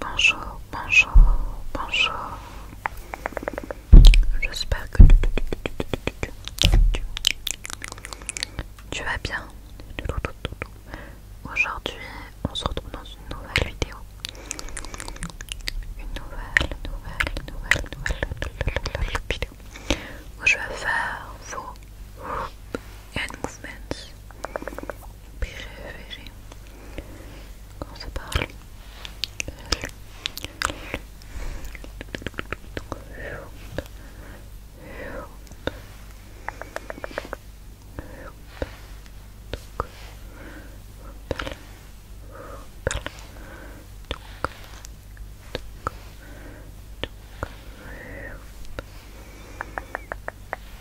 Bonjour, bonjour, bonjour. J'espère que tu vas bien. Aujourd'hui, on se retrouve dans une nouvelle vidéo. Une nouvelle, nouvelle, nouvelle, nouvelle vidéo où je vais faire vos movements préféré quand ça parle.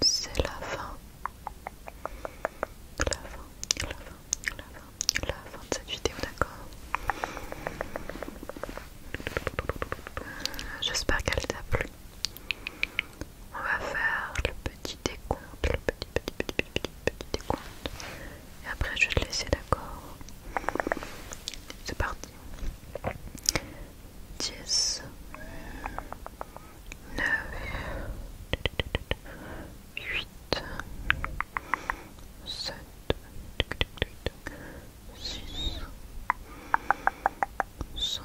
C'est la fin. La fin, la fin, la fin, la fin de cette vidéo, d'accord J'espère qu'elle t'a plu. On va faire le petit décompte, le petit, petit, petit, petit, petit, décompte. Et après, je vais te laisser d'accord. C'est parti. 10, 9, 8, 7, 6, 5,